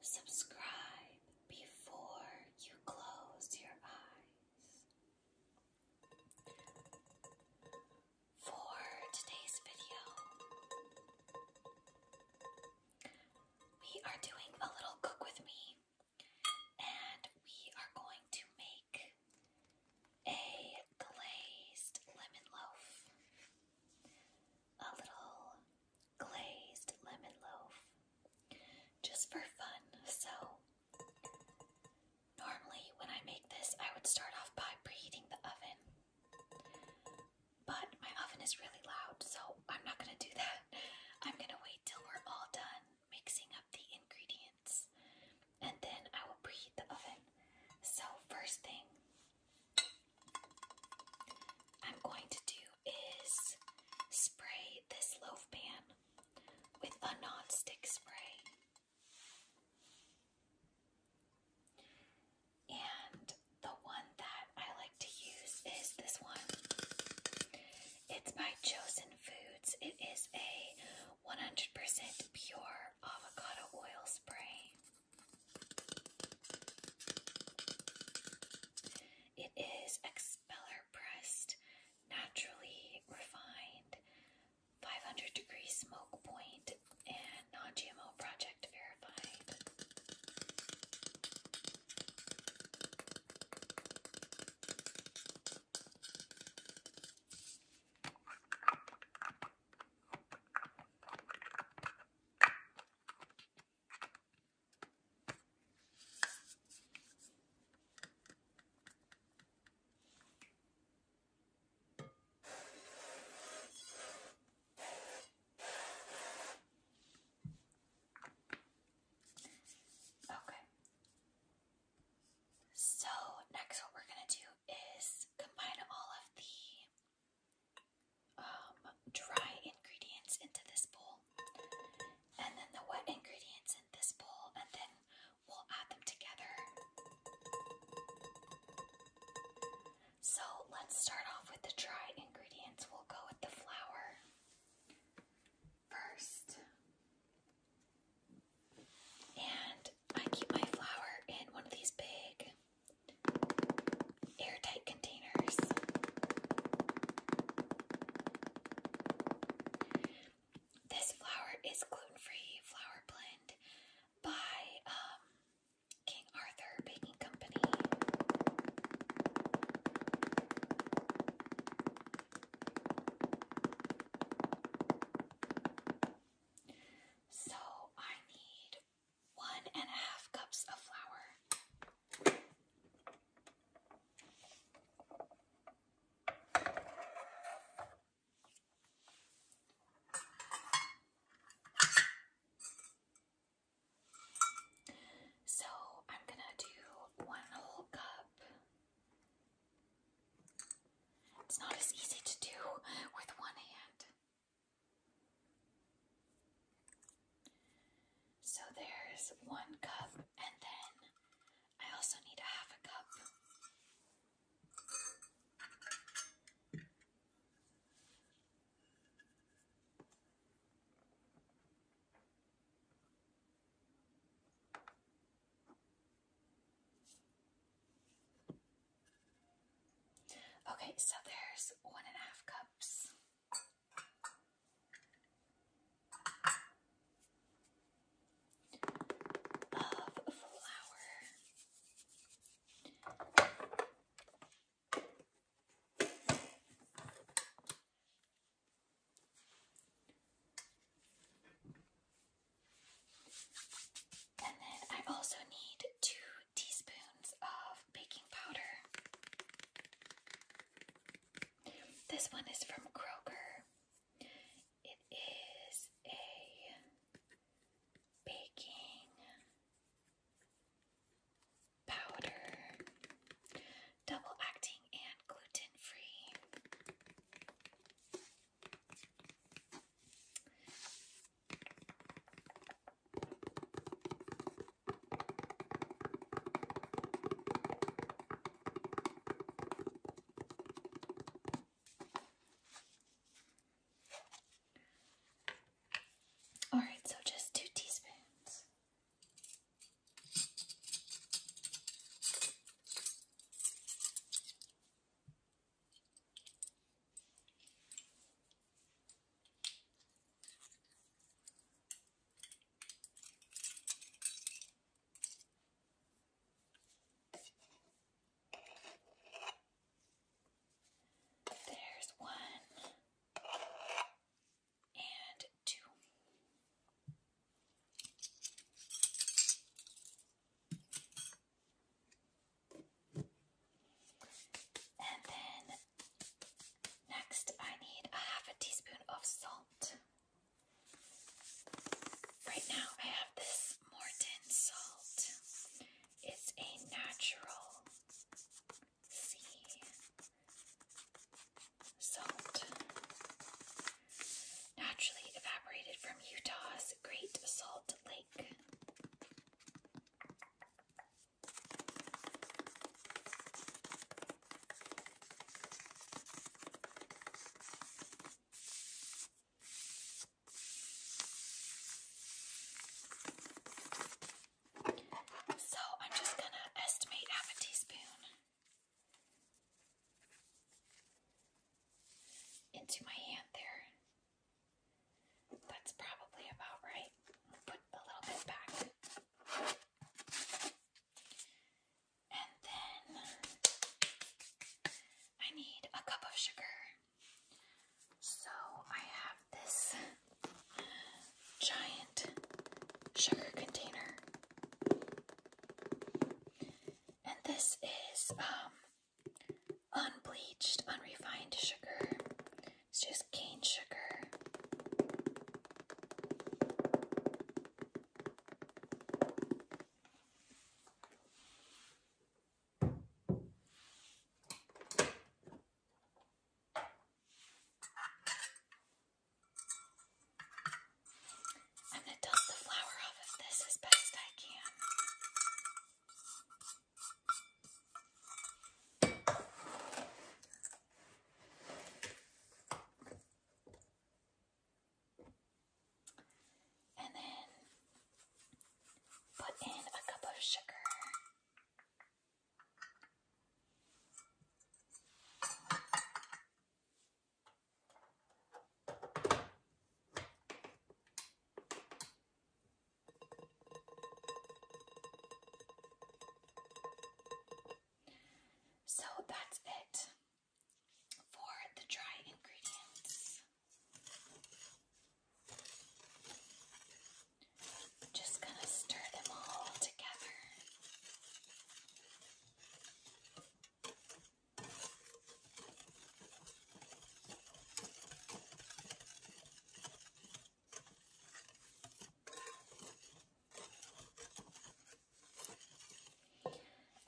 Subscribe before you close your eyes. For today's video, we are doing a little cook with me, and we are going to make a glazed lemon loaf. A little glazed lemon loaf just for fun. So, normally when I make this, I would start off by preheating the oven, but my oven is really loud, so I'm not gonna do that. I'm gonna wait till we're all done mixing up the ingredients and then I will preheat the oven. So, first thing, I'm going to do is spray this loaf pan with a non-stick spray. And the one that I like to use is this one. It's by Chosen Foods. It is a 100% pure avocado oil spray. It is expeller pressed, naturally refined, 500 degree smoke point, and non GMO project verified. Okay. So, next, what we're going to do is combine all of the um, dry ingredients into this bowl, and then the wet ingredients in this bowl, and then we'll add them together. So let's start off with the dry ingredients. We'll go with the flour first. And I keep my flour in one of these big airtight containers. This flour is gluten-free flour blend by um, King Arthur Baking Company. So I need one and a half cups of flour. So I'm going to do one whole cup. It's not as easy to do with one hand. So there's one cup, and then I also need a half a cup. Okay, so there's one and a half cups. Of flour. And then I also need two teaspoons of baking powder. This one is from Kroger. It is a baking powder, double acting and gluten free. All right, so just two teaspoons. There's one and two. And then next, I need a half a teaspoon of salt. Right now, I have this Morton salt. It's a natural sea salt, naturally evaporated from Utah's Great Salt Lake. So I'm just going to estimate half a teaspoon into my hand there. That's probably about right. put a little bit back. And then I need a cup of sugar. So I have this giant sugar container. And this is um unbleached, unrefined sugar. It's just cane sugar. I'm going to dust the flour off of this as best I can. And then put in a cup of sugar. So that's it for the dry ingredients. just going to stir them all together.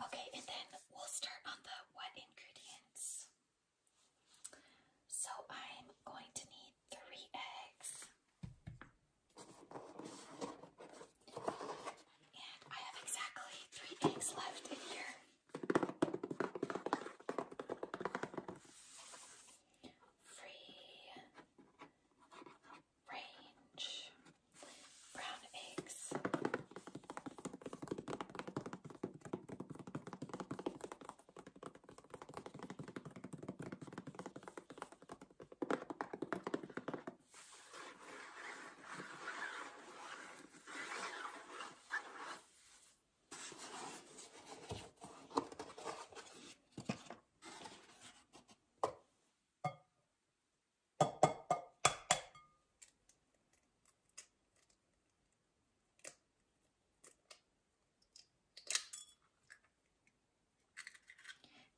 Okay, and then we'll start on the what ingredients. So I'm going to need three eggs. And I have exactly three eggs left in here. Free range brown eggs.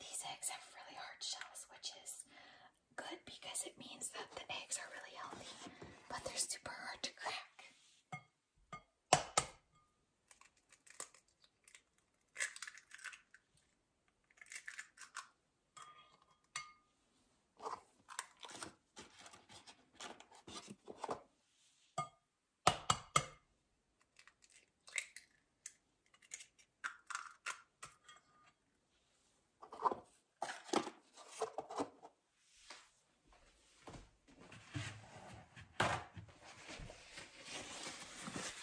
These eggs have really hard shells, which is good because it means that the eggs are really healthy, but they're super hard to crack. Alright,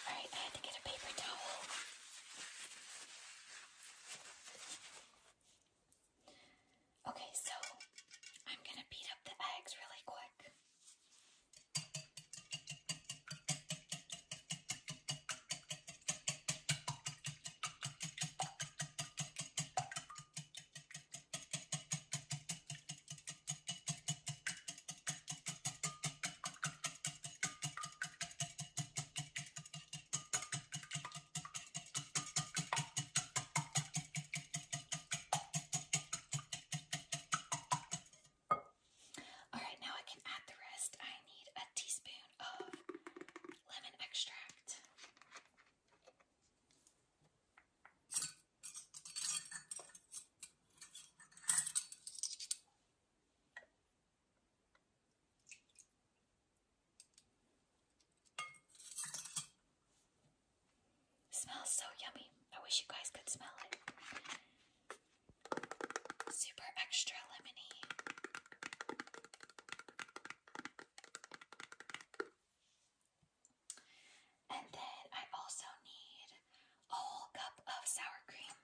I had to get a paper towel. Okay, so I'm going to beat up the eggs really quick. All right, now I can add the rest. I need a teaspoon of lemon extract. Smells so yummy. I wish you guys could smell it. Super extra lemony. And then I also need a whole cup of sour cream.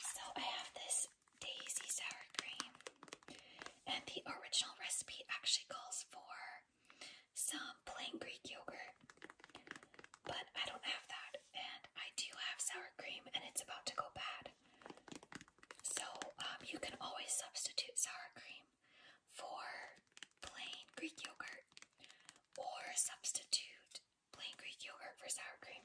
So I have this daisy sour cream, and the original recipe actually calls for some plain Greek yogurt, but I don't have that, and I do have sour cream, and it's about to go bad. So um, you can always substitute sour cream for plain Greek yogurt, or substitute plain Greek yogurt for sour cream.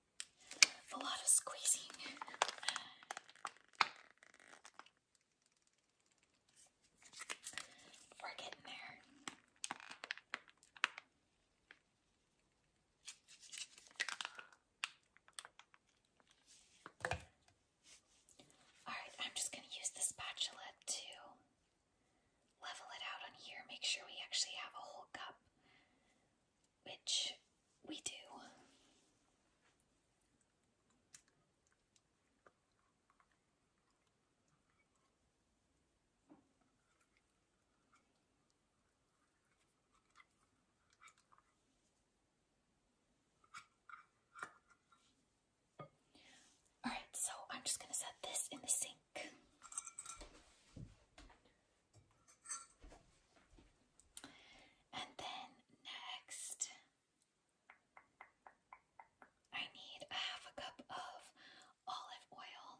a lot of squeezing. We're getting there. All right, I'm just going to use the spatula to level it out on here, make sure we actually have a whole cup, which we do. All right, so I'm just going to set this in the sink back. And then next, I need a half a cup of olive oil.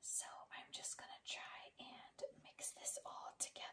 So I'm just going to try and mix this all together.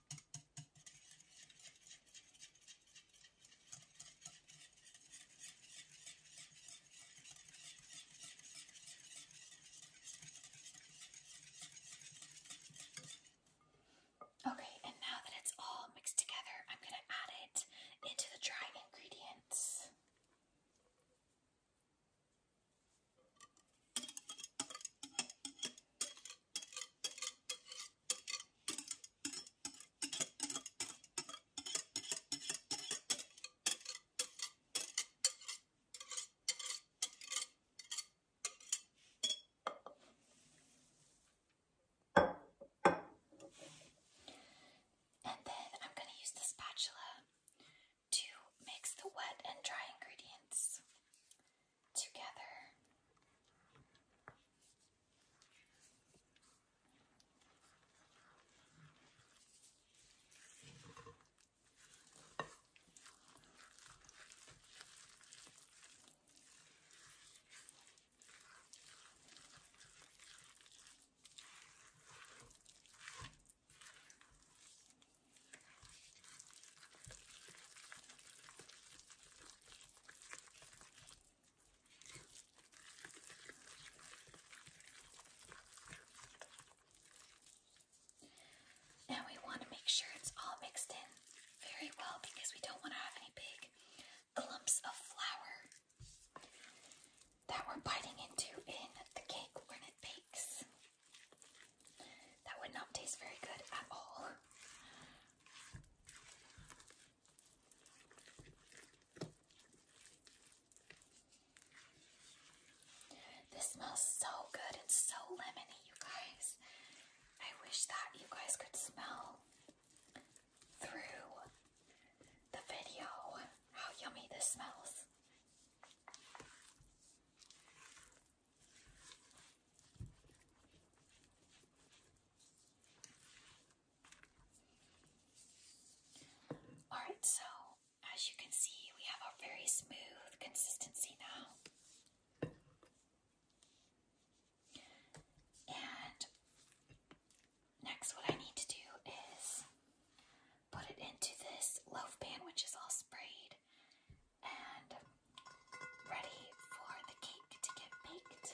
Okay, and now that it's all mixed together, I'm going to add it into the dry ingredients. And then I'm going to use the spatula to mix the wet and dry ingredients together. And we want to make sure it's all mixed in very well because we don't want to have any big clumps of flour that we're biting into in the cake when it bakes. That would not taste very good at all. This smells so good and so lemony, you guys. I wish that you guys could smell through the video how yummy this smells. Alright, so as you can see, we have a very smooth consistency now. And next, what I need to do is put it into this loaf pan, which is all sprayed, and ready for the cake to get baked.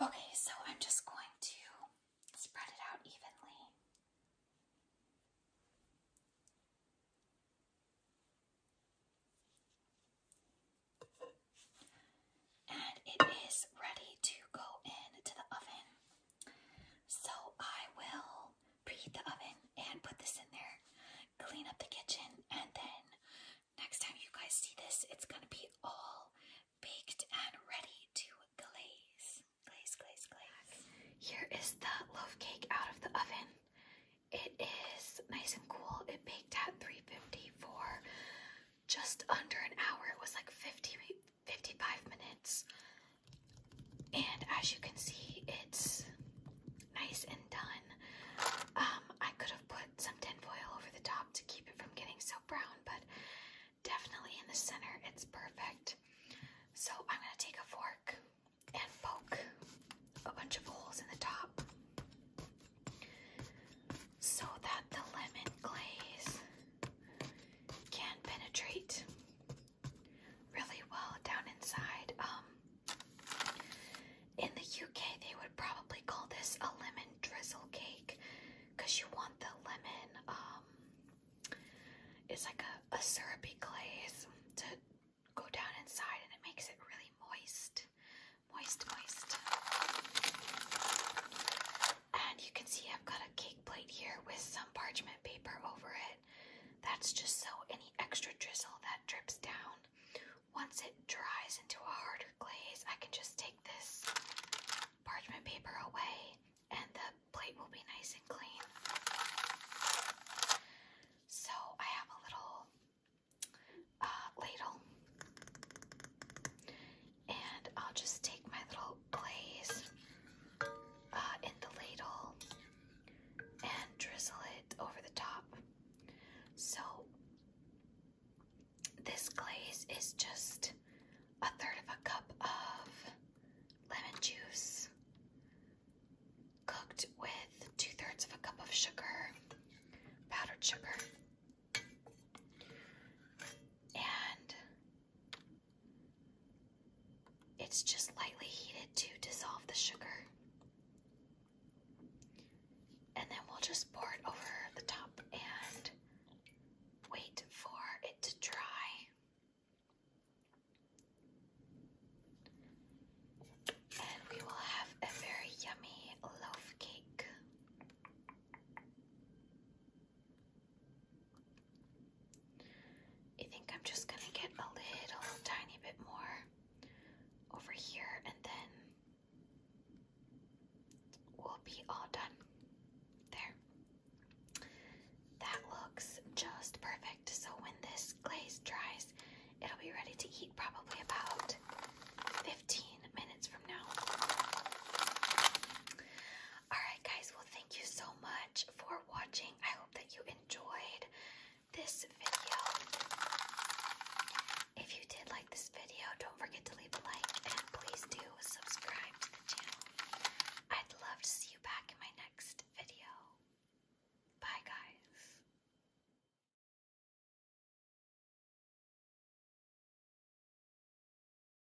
Okay, so I'm just going to spread it out evenly. And it is ready to go into the oven. So I will preheat the oven and put this in there, clean up the kitchen, and then next time you guys see this, it's gonna be all baked and ready to glaze. Glaze, glaze, glaze. Here is the loaf cake out of the oven. It is nice and cool. It baked at 350 for just under an hour. It was like 50, 55 minutes. And as you can see, it's nice and done. Um, I could have put some tinfoil over the top to keep it from getting so brown, but definitely in the center, it's perfect. So I'm going to take a fork and poke a bunch of holes in the top so that the lemon glaze can penetrate really well down inside. Um, in the UK, they would probably call this a lemon drizzle cake because you want the lemon. Um, it's like a, a syrupy glaze to go down inside, and it makes it really moist, moist, moist. And you can see I've got a cake plate here with some parchment paper over it. That's just so any extra drizzle that drips down. Once it dries into a harder glaze, I can just take this parchment paper away and the plate will be nice and clean. So I have a little uh, ladle and I'll just take my little glaze uh, in the ladle and drizzle it over the top. So this glaze is just a third of a cup of lemon juice cooked with two thirds of a cup of sugar, powdered sugar, and it's just lightly heated to dissolve the sugar. And then we'll just pour it over the top and wait for it to dry. And we will have a very yummy loaf cake. I think I'm just gonna get a little tiny bit more over here and then we'll be all done. There. That looks just perfect. So when this glaze dries, it'll be ready to eat probably about 15 minutes from now. All Alright, guys, well, thank you so much for watching. I hope that you enjoyed this video. If you did like this video, don't forget to leave a like and please do subscribe to the channel. I'd love to see you back in my next video. Bye, guys.